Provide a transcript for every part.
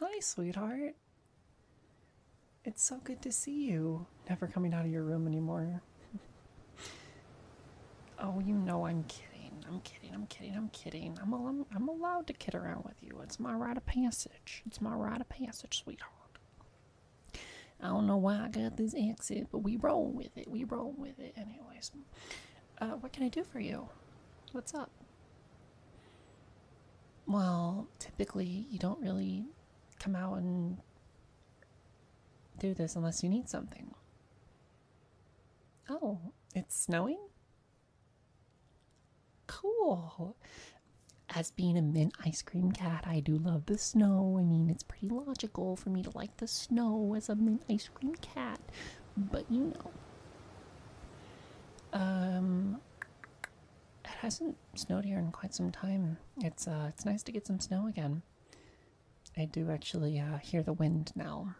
Hi, sweetheart. It's so good to see you. Never coming out of your room anymore. oh, you know I'm kidding. I'm kidding. I'm kidding. I'm kidding. I'm, allowed to kid around with you. It's my right of passage. It's my rite of passage, sweetheart. I don't know why I got this accent, but we roll with it. We roll with it. Anyways, uh, what can I do for you? What's up? Well, typically, you don't really come out and do this unless you need something. Oh, it's snowing? Cool. As being a mint ice cream cat, I do love the snow. I mean, it's pretty logical for me to like the snow as a mint ice cream cat, but you know. Um, it hasn't snowed here in quite some time. It's uh, it's nice to get some snow again. I do actually uh, hear the wind now.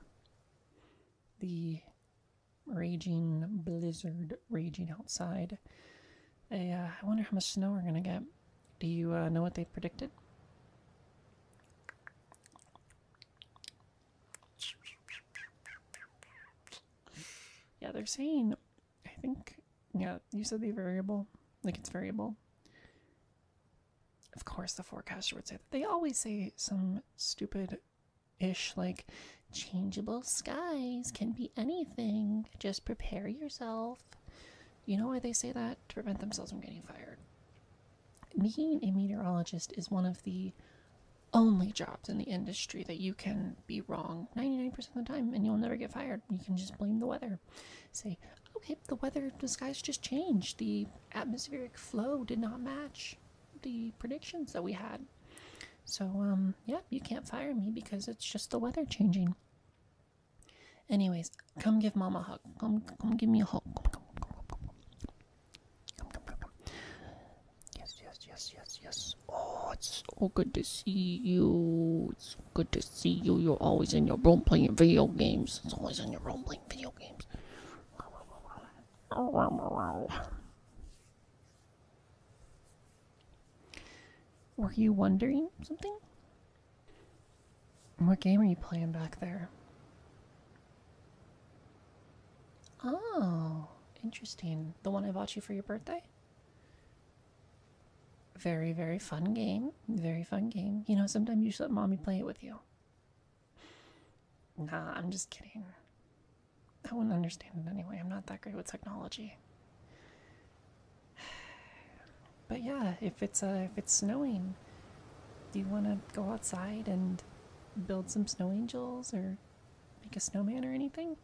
The raging blizzard raging outside. Uh, I, wonder how much snow we're going to get. Do you uh, know what they predicted? Yeah, they're saying, I think, yeah, you said the variable, like it's variable. Of course, the forecaster would say that. They always say some stupid ish like changeable skies can be anything just prepare yourself you know why they say that to prevent themselves from getting fired being a meteorologist is one of the only jobs in the industry that you can be wrong 99% of the time and you'll never get fired you can just blame the weather say okay the weather the skies just changed the atmospheric flow did not match the predictions that we had. So, um, yeah, you can't fire me because it's just the weather changing. Anyways, come give mom a hug. Come, come give me a hug. Yes, yes, yes, yes, yes. Oh, it's so good to see you. It's good to see you. You're always in your room playing video games. It's always in your room playing video games. Were you wondering something? What game are you playing back there? Oh, interesting. The one I bought you for your birthday? Very, very fun game. Very fun game. You know, sometimes you should let mommy play it with you. Nah, I'm just kidding. I wouldn't understand it anyway. I'm not that great with technology. But yeah, if it's uh, if it's snowing, do you want to go outside and build some snow angels or make a snowman or anything?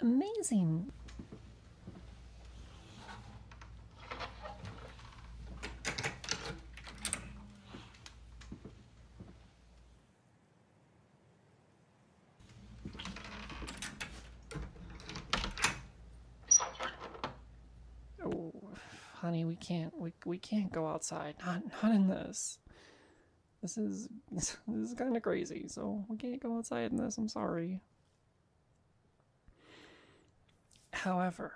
Amazing. Oh, honey, we can't we we can't go outside. Not not in this. This is this is kind of crazy. So we can't go outside in this. I'm sorry. However,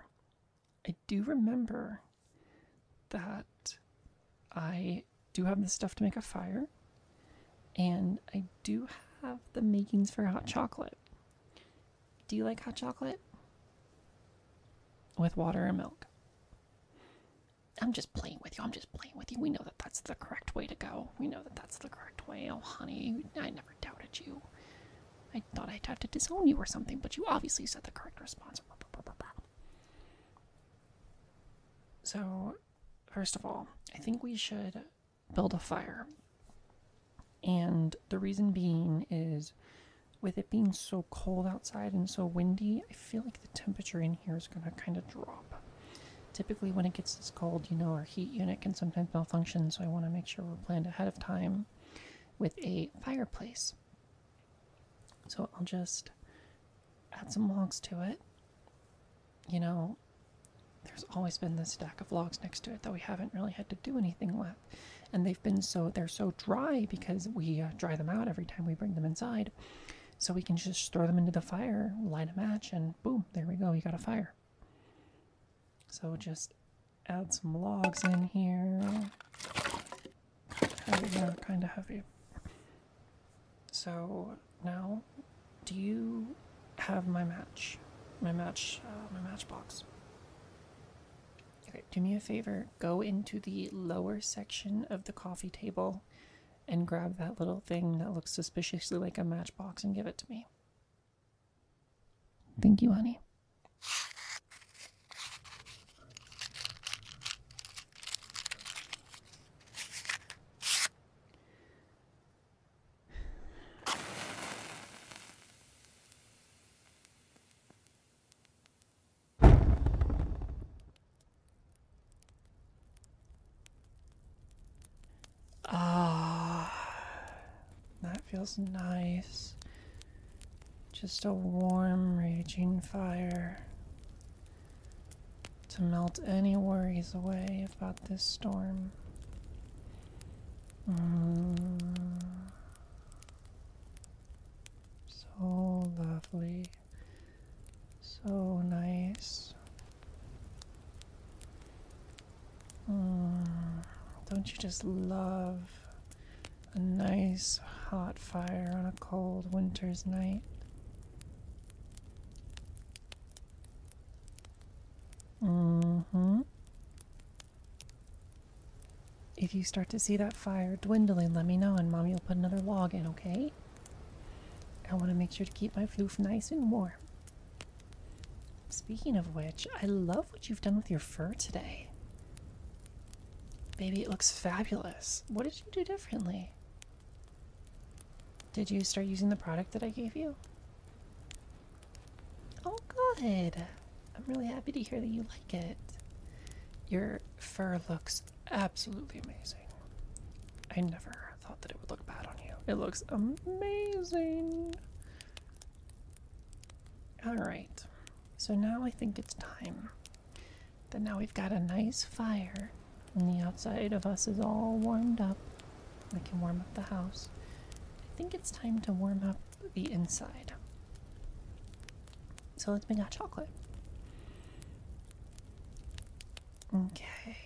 I do remember that I do have the stuff to make a fire, and I do have the makings for hot chocolate. Do you like hot chocolate? With water and milk. I'm just playing with you. I'm just playing with you. We know that that's the correct way to go. We know that that's the correct way. Oh, honey, I never doubted you. I thought I tried to disown you or something, but you obviously said the correct response. So, first of all, I think we should build a fire. And the reason being is with it being so cold outside and so windy, I feel like the temperature in here is going to kind of drop. Typically, when it gets this cold, you know, our heat unit can sometimes malfunction, so I want to make sure we're planned ahead of time with a fireplace. So I'll just add some logs to it. You know, there's always been this stack of logs next to it that we haven't really had to do anything with. And they've been so, they're so dry because we uh, dry them out every time we bring them inside. So we can just throw them into the fire, light a match, and boom, there we go, you got a fire. So just add some logs in here. yeah, kind of heavy. So now, do you have my match? My match, uh, my matchbox. Okay, do me a favor. Go into the lower section of the coffee table and grab that little thing that looks suspiciously like a matchbox and give it to me. Thank you, honey. Ah. That feels nice. Just a warm, raging fire to melt any worries away about this storm. Mm. So lovely. So nice. Mm, don't you just love a nice hot fire on a cold winter's night? Mm-hmm. If you start to see that fire dwindling, let me know and mommy will put another log in, okay? I want to make sure to keep my floof nice and warm. Speaking of which, I love what you've done with your fur today. Baby, it looks fabulous. What did you do differently? Did you start using the product that I gave you? Oh, good. I'm really happy to hear that you like it. Your fur looks absolutely amazing. I never thought that it would look bad on you. It looks amazing. All right, so now I think it's time. That now we've got a nice fire, and the outside of us is all warmed up. We can warm up the house. I think it's time to warm up the inside. So let's make out chocolate. Okay.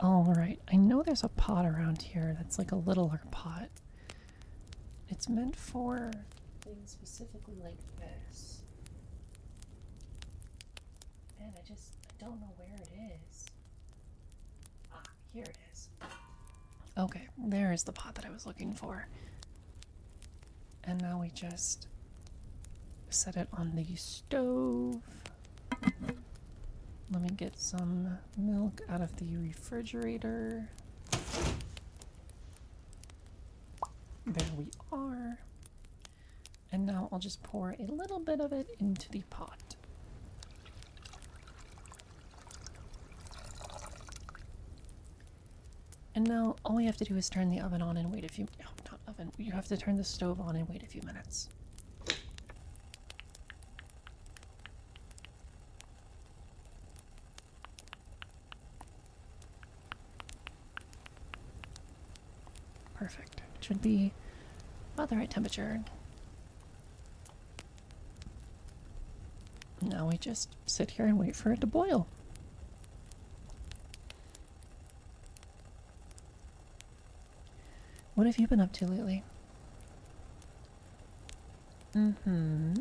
All right, I know there's a pot around here that's like a littler pot. It's meant for things specifically like this. Man, I just I don't know where it is. Ah, here it is. Okay, there is the pot that I was looking for. And now we just set it on the stove. Let me get some milk out of the refrigerator. There we are. And now I'll just pour a little bit of it into the pot. And now all you have to do is turn the oven on and wait a few. No, not oven. You have to turn the stove on and wait a few minutes. Perfect. It should be about the right temperature. Now we just sit here and wait for it to boil. What have you been up to lately? Mm-hmm.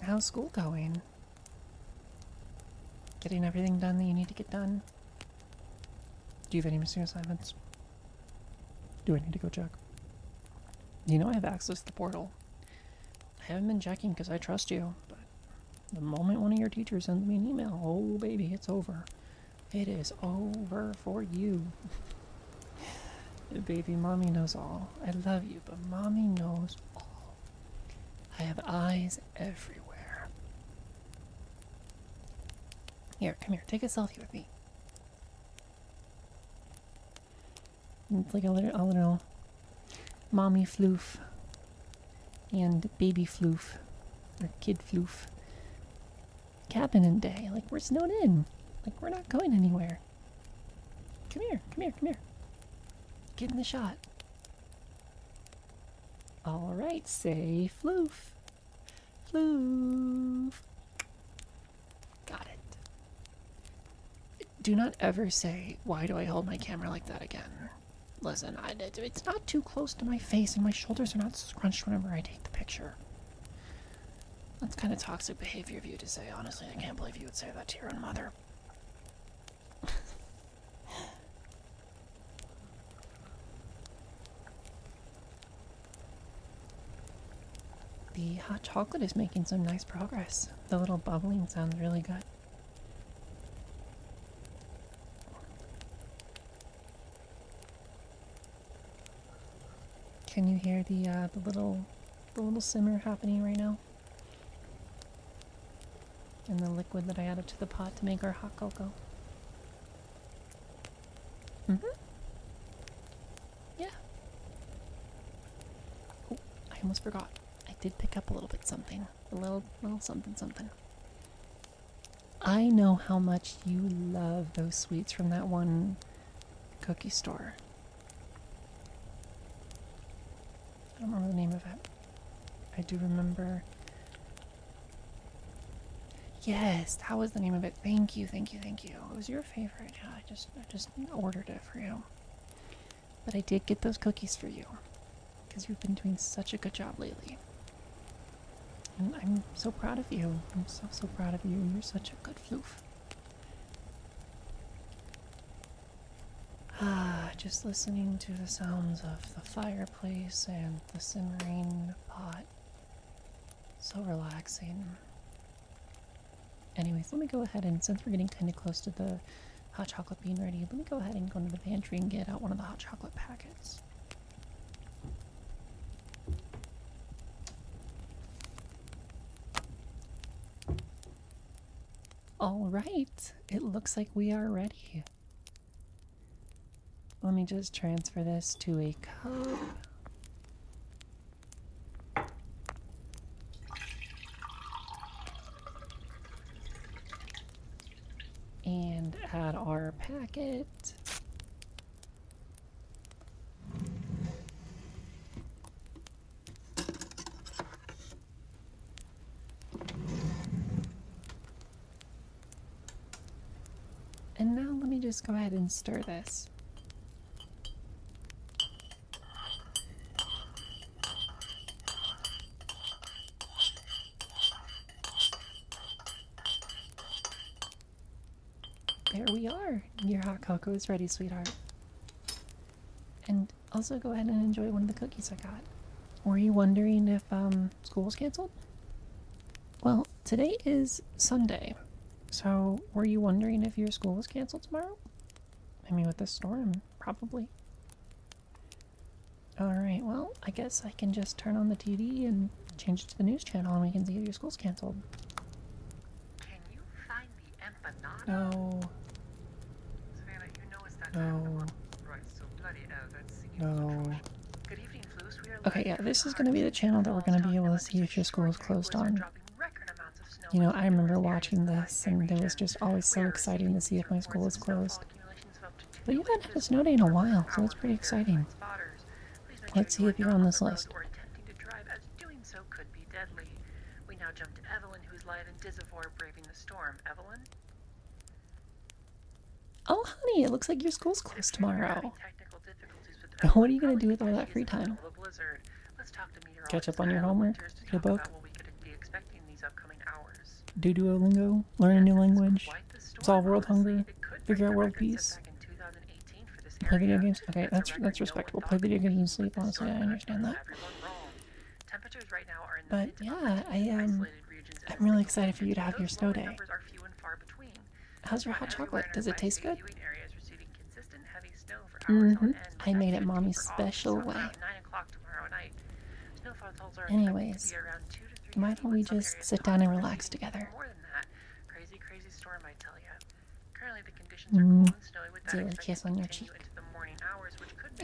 How's school going? Getting everything done that you need to get done? Do you have any missing assignments? Do I need to go check? You know I have access to the portal. I haven't been checking because I trust you, but the moment one of your teachers sends me an email, oh baby, it's over. It is over for you. baby, mommy knows all. I love you, but mommy knows all. I have eyes everywhere. Here, come here, take a selfie with me. It's like a little, a mommy floof and baby floof or kid floof cabin and day. Like, we're snowed in. Like, we're not going anywhere. Come here, come here, come here. Get in the shot. Alright, say floof. Floof. Got it. Do not ever say, why do I hold my camera like that again? Listen, it's not too close to my face and my shoulders are not scrunched whenever I take the picture. That's kind of toxic behavior of you to say, honestly. I can't believe you would say that to your own mother. The hot chocolate is making some nice progress. The little bubbling sounds really good. Can you hear the uh, the little the little simmer happening right now? And the liquid that I added to the pot to make our hot cocoa. Mm-hmm. Yeah. Oh, I almost forgot. I did pick up a little bit something. A little, little something, something. I know how much you love those sweets from that one cookie store. I don't remember the name of it. I do remember. Yes, that was the name of it. Thank you, thank you, thank you. It was your favorite. I just I just ordered it for you. But I did get those cookies for you because you've been doing such a good job lately. And I'm so proud of you. I'm so so proud of you. You're such a good floof. Ah, just listening to the sounds of the fireplace and the simmering pot. So relaxing. Anyways, let me go ahead and since we're getting kind of close to the hot chocolate being ready, let me go ahead and go into the pantry and get out one of the hot chocolate packets. All right, it looks like we are ready. Let me just transfer this to a cup and add our packet. And now let me just go ahead and stir this. There we are. Your hot cocoa is ready, sweetheart. And also go ahead and enjoy one of the cookies I got. Were you wondering if um, school's canceled? Well, today is Sunday, so, were you wondering if your school was canceled tomorrow? I mean, with the storm, probably. Alright, well, I guess I can just turn on the TV and change it to the news channel and we can see if your school's canceled. No. no. no. Good evening, Okay, yeah, this is going to be the channel that we're going to be able to see if your school is closed on. You know, I remember watching this, and it was just always so exciting to see if my school was closed. But you haven't had a snow day in a while, so it's pretty exciting. Let's see if you're on this list. We now jump to Evelyn, who's live in Disavor, braving the storm. Evelyn? Oh, honey, it looks like your school's closed tomorrow what are you going to do with all that free time? Catch up on your homework? Your book? Do Duolingo? Learn a new language? Solve world hunger? Figure out world peace? Play video games? Okay, that's that's respectable. Play video games and sleep, honestly, I understand that. But yeah, I am. Um, I'm really excited for you to have your snow day. How's your hot chocolate? Does it taste good? Mm-hmm. I made it mommy's special way. Anyways, why don't we just sit down and relax together? Mm. Do a kiss on your cheek.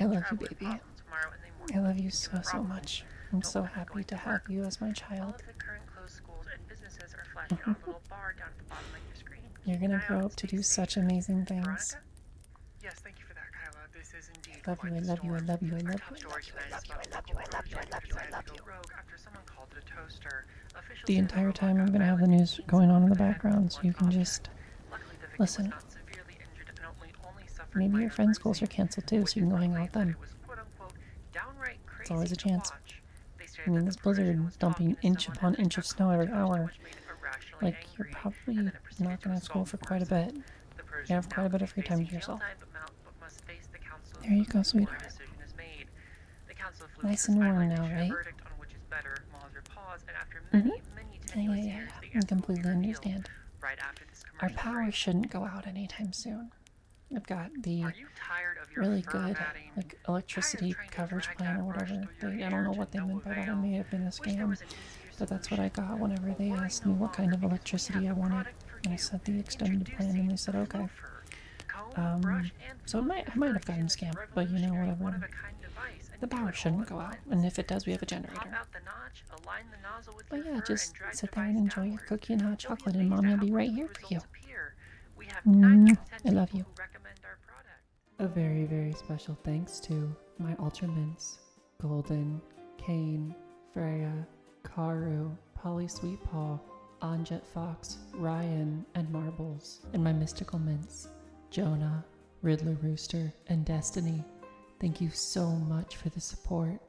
I love you, baby. I love you so, so much. I'm so happy to have you as my child those schools and businesses are flashing on a little bar down at the bottom of your screen. You're gonna grow up to do such amazing things. Yes, thank you for that, Kyla. This is indeed I love you, I love you, I love you, I love you, I love you, I love you, I love you, I love you, I love you. The entire time I'm gonna have the news going on in the background, so you can just listen. Maybe your friends' schools are canceled too, so you can go hang out with them. It's always a chance. I mean, this blizzard dumping inch upon inch of snow every hour. Like, you're probably not going to school for quite a bit. You have quite a bit of free time to yourself. There you go, sweetheart. Nice and warm now, right? Mm-hmm. Yeah, yeah, yeah. I completely understand. Our power shouldn't go out anytime soon. I've got the really good like electricity coverage plan or whatever. I don't know what they meant by that. It may have been a scam, but that's what I got whenever they asked me what kind of electricity I wanted, and I said the extended plan, and they said okay. Um, so it might, I might have gotten scammed, but you know whatever. The power shouldn't go out, and if it does, we have a generator. But yeah, just sit there and enjoy your cookie and hot chocolate, and mommy will be right here for you. Mm-hmm. I love you. A very, very special thanks to my ultra mints, Golden, Kane, Freya, Karu, Polly Sweet Paw, Anjet Fox, Ryan, and Marbles, and my mystical mints, Jonah, Riddler Rooster, and Destiny. Thank you so much for the support.